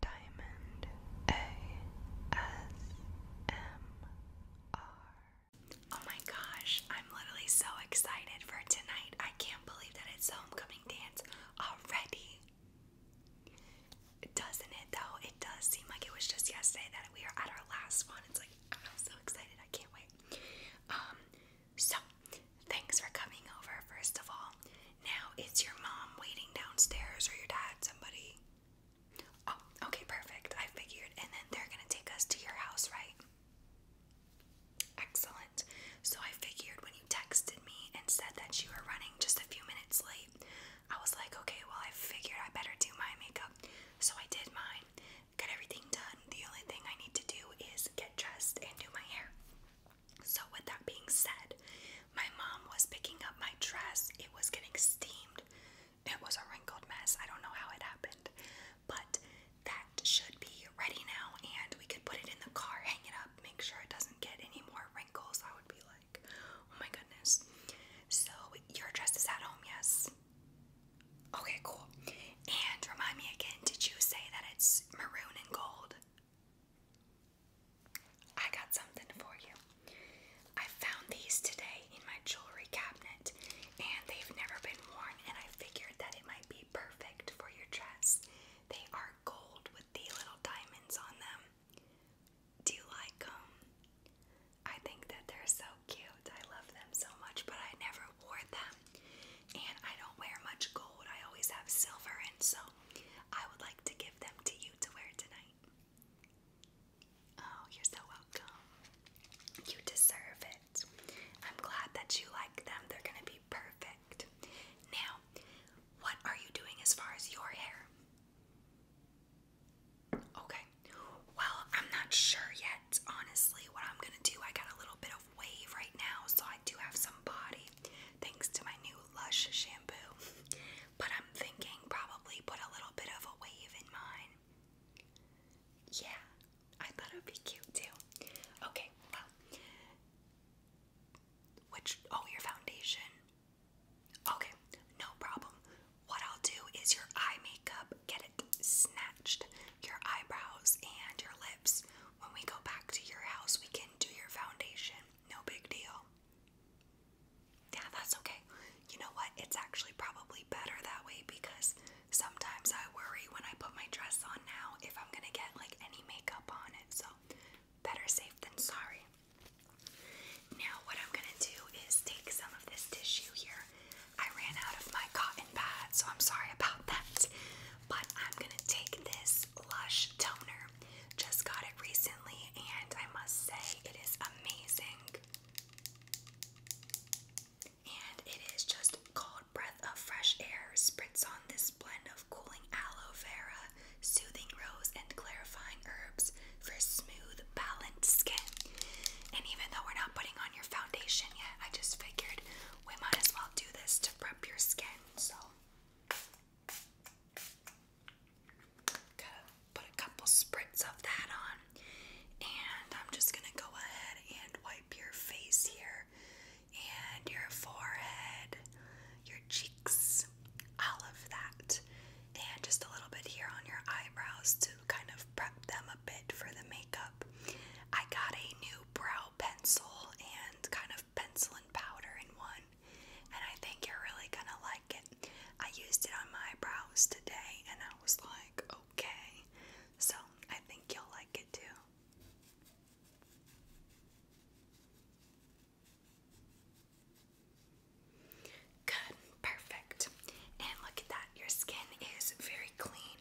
Diamond ASMR. Oh my gosh, I'm literally so excited for tonight. I can't believe that it's homecoming dance already. Doesn't it though? It does seem like it was just yesterday that we were at our last one. It's like I'm so excited. I can't wait. Um so thanks for coming over first of all. Now, it's your mom waiting downstairs or your dad somebody? Oh, okay, perfect. I figured. And then they're going to take us to your house, right? Excellent. So I figured when you texted me and said that you were running just a few minutes late, I was like, okay, well, I figured I better do my makeup. So I did mine, got everything done. The only thing I need to do is get dressed and do my hair. So, with that being said, my mom was picking up my dress. It was getting steamed. It was a wrinkled mess. I don't know how it happened. But that should be ready now, and we could put it in the car, hang it up, make sure it doesn't get any more wrinkles. I would be like, oh my goodness. So, your dress is at home, yes? Okay, cool. And remind me again, did you say that it's maroon and gold? I got something for you. I found these today in my jewelry cabinet and they've never been worn and I figured that it might be perfect for your dress. They are gold with the little diamonds on them. Do you like them? I think that they're so cute. I love them so much, but I never wore them. And I don't wear much gold, I always have silver, and so I would like to give them to you to wear tonight. Oh, you're so welcome. You deserve it. I'm glad that you like them, they're gonna be perfect. Now, what are you doing as far as your hair? Okay. Well, I'm not sure yet, honestly, what I'm gonna do. I got a little bit of wave right now, so I do have some body thanks to my new Lush shampoo. But I'm thinking probably put a little bit of a wave in mine. Yeah, I thought it would be cute too. Okay, well, which, oh, your foundation. Okay, no problem. What I'll do is your eye makeup, get it snatched, your eyebrows and your lips. When we go back to your house, we can do your foundation. No big deal. Yeah, that's okay. You know what? It's actually probably better that way because sometimes I worry when I put my dress on now if I'm gonna get like any makeup on it. So, better safe than sorry. Now, what I'm gonna do is take some of this tissue here. I ran out of my cotton pad, so I'm sorry about that. But I'm gonna take this Lush toner. Just got it recently, and I must say it is amazing. And it is just called Breath of Fresh Air. Spritz on this blend of cooling aloe vera, soothing rose, and clarifying herbs for smooth, balanced skin. And even though we're not putting on your foundation yet, I just figured we might as well do this to prep your skin. So, gotta put a couple spritz of that on, and I'm just gonna go ahead and wipe your face here, and your forehead, your cheeks, all of that, and just a little bit here on your eyebrows to kind of prep them a bit for the makeup. I got a new brow pencil and kind of pencil and powder in one, and I think you're really gonna like it. I used it on my brows today, and I was like, okay, so I think you'll like it too. Good, perfect. And look at that, your skin is very clean.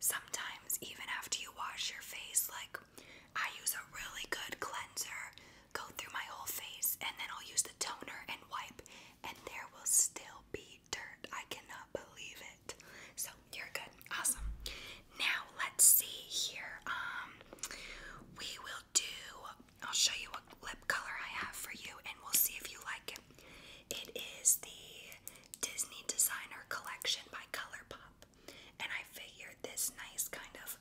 Sometimes, even after you wash your face, like I use a really good cleanser, go through my whole face, and then I'll use the toner and wipe, and there will still be dirt. I cannot believe it. So, you're good. Awesome. Now, let's see here. Um, we will do, I'll show you what lip color I have for you, and we'll see if you like it. It is the Disney Designer Collection by Colourpop. And I figured this nice kind of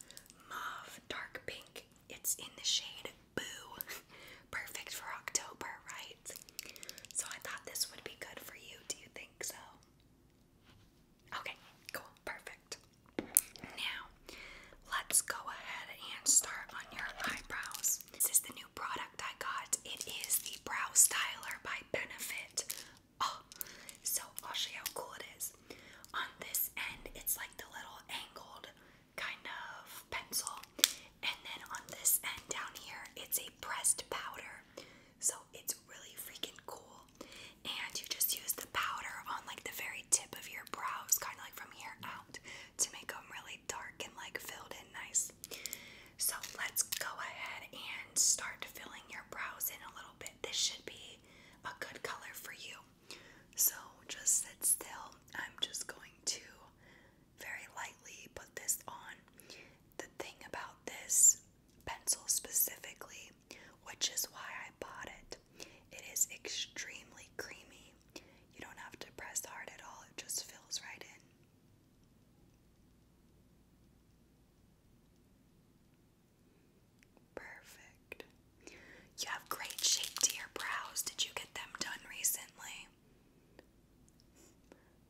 mauve dark pink. It's in the shade Boo. Perfect for October, right? So I thought this would be good for you. Do you think so? Okay, cool. Perfect. Now, let's go ahead and start on your eyebrows. This is the new product. I got. It is the Brow Styler by Benefit. Oh, so I'll show you how cool it is. On this end, it's like the little angled kind of pencil. And then on this end down here, it's a pressed powder. So it's really freaking cool. And you just use the powder on like the very tip of your brows, kind of like from here out, to make them really dark and like filled in nice. So let's go ahead and start filling your brows in a little bit. This should be a good color for you. So just sit still. I'm just going to very lightly put this on. The thing about this pencil specifically, which is why I bought it, it is extremely creamy you don't have to press hard at all, it just fills right in. Perfect. You have great shape to your brows. Did you get them done recently?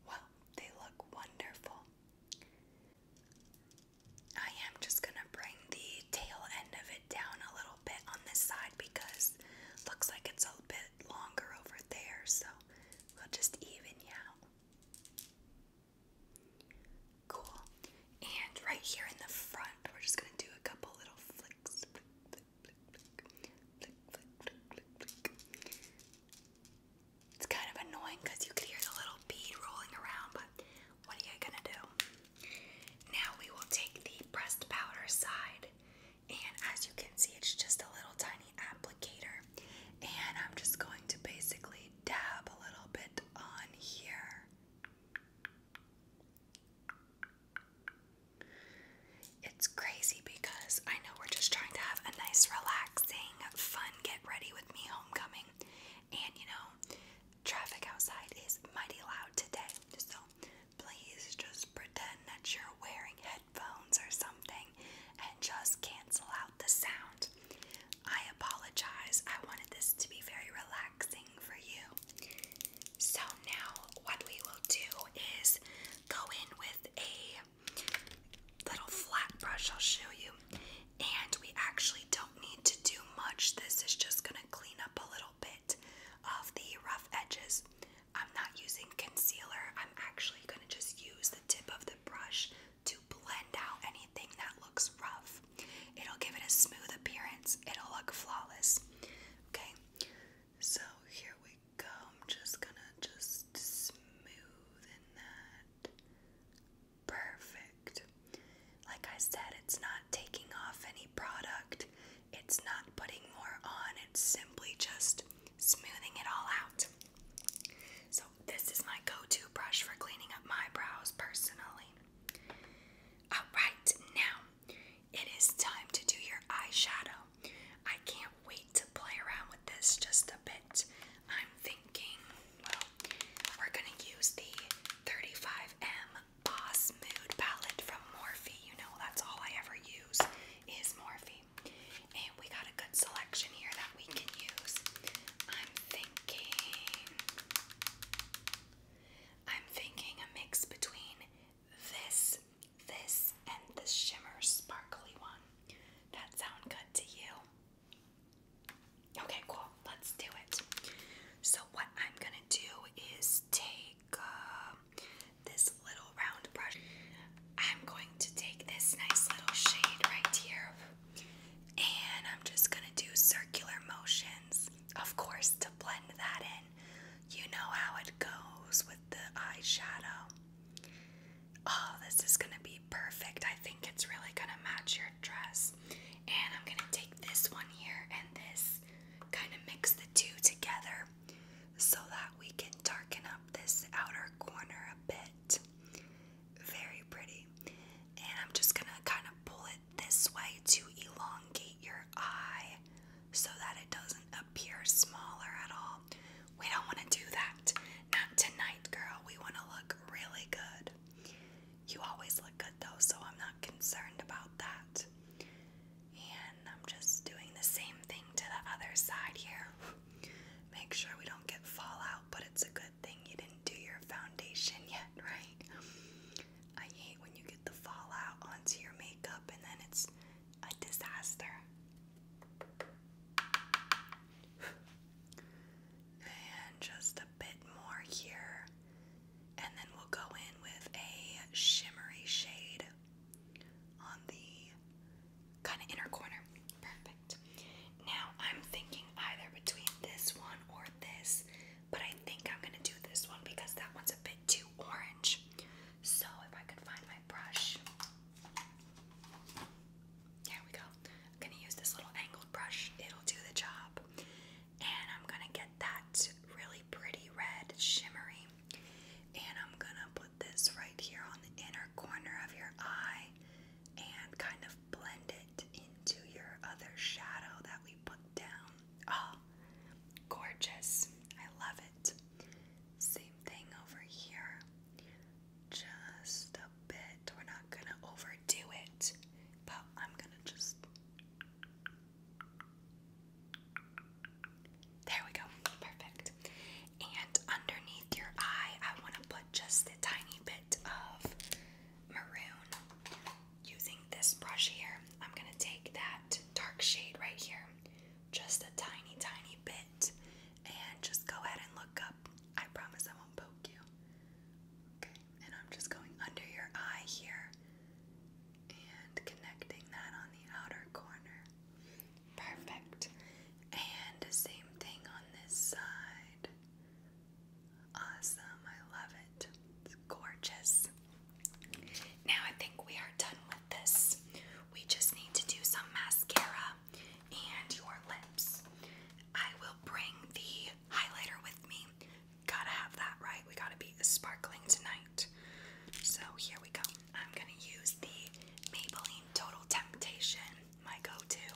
Well, they look wonderful. I am just going to bring the tail end of it down a little bit on this side because looks like it's a bit longer over there, so we'll just even you out. Cool. And right here in the front, we're just gonna do a couple little flicks. It's kind of annoying you could hear the little bead rolling around, but what are you gonna do? Now we will take the pressed powder side and as you can see it's just a little tiny applicator and I'm just going to basically dab a little bit on here it's crazy because I know we're just trying to have a nice relaxing fun get ready with me homecoming and you know traffic outside is mighty loud today so please just pretend that you're wearing headphones or something and just cancel out the sound. I apologize. I wanted this to be very relaxing for you. So now what we will do is go in with a little flat brush I'll show you. And we actually don't need to do much. This is just going to clean up a little bit of the rough edges. I'm not using concealer. I'm actually going to just use the tip of the brush to blend out anything that looks rough. It'll give it a smooth appearance. It'll look flawless. Okay. So here we go. I'm just going to just smoothen that. Perfect. Like I said, it's not taking off any product, it's not putting more on, it's simply just smoothing it all out. So, this is my go to brush for cleaning up my brows personally. Alright, now it is time to do your eyeshadow. I can't wait to play around with this just a bit. I'm thinking, well, we're gonna use the 35M Boss Mood Palette from Morphe. You know that's all I ever use is Morphe. And we got a good selection here that we can use. I'm thinking... I'm thinking a mix between this, this, and the shimmer sparkly one. That sound good to you? Okay, cool. Let's do it. So, what I'm gonna do is take um, this little round brush. I'm going to take this nice little shade right here, and I'm just gonna do circular motions, of course, to blend that in. You know how it goes with the eyeshadow. Oh, this is gonna be perfect. I think it's really gonna match your dress. And I'm gonna take this one here and this, kind of mix the two together so that we can darken up this outer corner a bit. Very pretty. And I'm just gonna kind of pull it this way to elongate your eye so that it doesn't appear smaller at all. We don't wanna do that. Not tonight, girl. We wanna look really good. You always look good though, so I'm not concerned about that. And I'm just doing the same thing to the other side here. Make sure we don't get fallout, but it's a good thing you didn't do your foundation yet, right? I hate when you get the fallout onto your makeup and then it's a disaster. And just a bit more here. And then we'll go in with a shimmery shade on the kind of inner corner. Perfect. Now I'm thinking either between this one or this, but I think I'm going to do this one because that one's a bit too orange. So if I could find my brush. There we go. I'm gonna use this little angled brush, it'll do the job. And I'm gonna get that really pretty red shimmery. And I'm gonna put this right here on the inner corner of your eye and kind of blend it into your other shadow that we put down. Oh, gorgeous. I love it. Same thing over here just a bit. We're not gonna overdo it, but I'm gonna just. There we go. Perfect. And underneath your eye, I want to put just a tiny bit of maroon. Using this brush here, I'm going to take that dark shade right here, just a tiny, tiny bit, and just go ahead and look up. I promise I won't poke you. Okay, and I'm just going under your eye here and connecting that on the outer corner. Perfect. And the same thing on this side. Awesome, I love it. It's gorgeous. Now I think we are done with this. We just need to do some mascara and your lips. I will bring the highlighter with me. Gotta have that, right? We gotta be sparkling tonight. So here we go. I'm gonna use the Maybelline Total Temptation, my go to.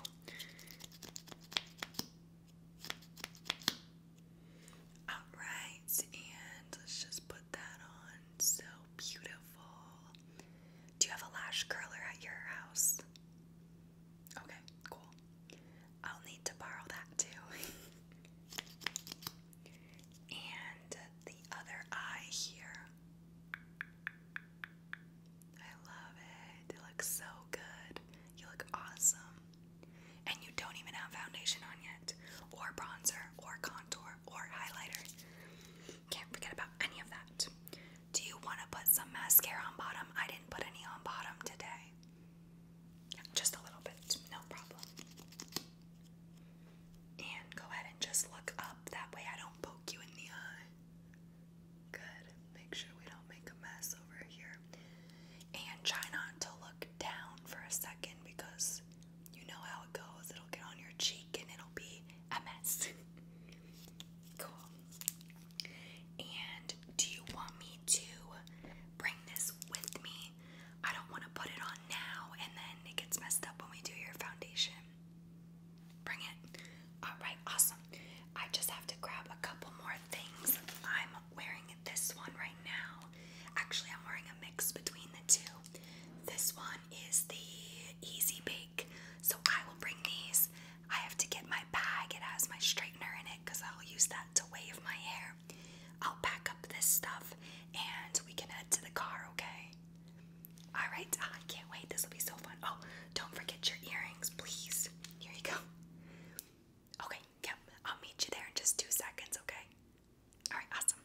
Alright, and let's just put that on. So beautiful. Do you have a lash curler at your house? Okay, cool. I'll need to borrow that too. and the other eye here. I love it. It looks so good. You look awesome. And you don't even have foundation on yet, or bronzer, or contour, or highlighter. Can't forget about any of that. Do you want to put some mascara on bottom? I didn't put any on bottom today. Just a little bit, no problem. And go ahead and just look up. That way I don't poke you in the eye. Good. Make sure we don't make a mess over here. And try not to look down for a second because you know how it goes. It'll get on your cheek and it'll be a mess. Cool. And do you want me to bring this with me? I don't want to put it on now and then it gets messed up when we do your foundation. Bring it. Alright, awesome. I just have to grab a couple more things. I'm wearing this one right now. Actually, I'm wearing a mix between the two. This one is the Easy Baby so I will bring these. I have to get my bag. It has my straightener in it because I'll use that to wave my hair. I'll pack up this stuff and we can head to the car, okay? Alright, ah, I can't wait. This will be so fun. Oh, don't forget your earrings, please. Here you go. Okay, yep. I'll meet you there in just two seconds, okay? Alright, awesome.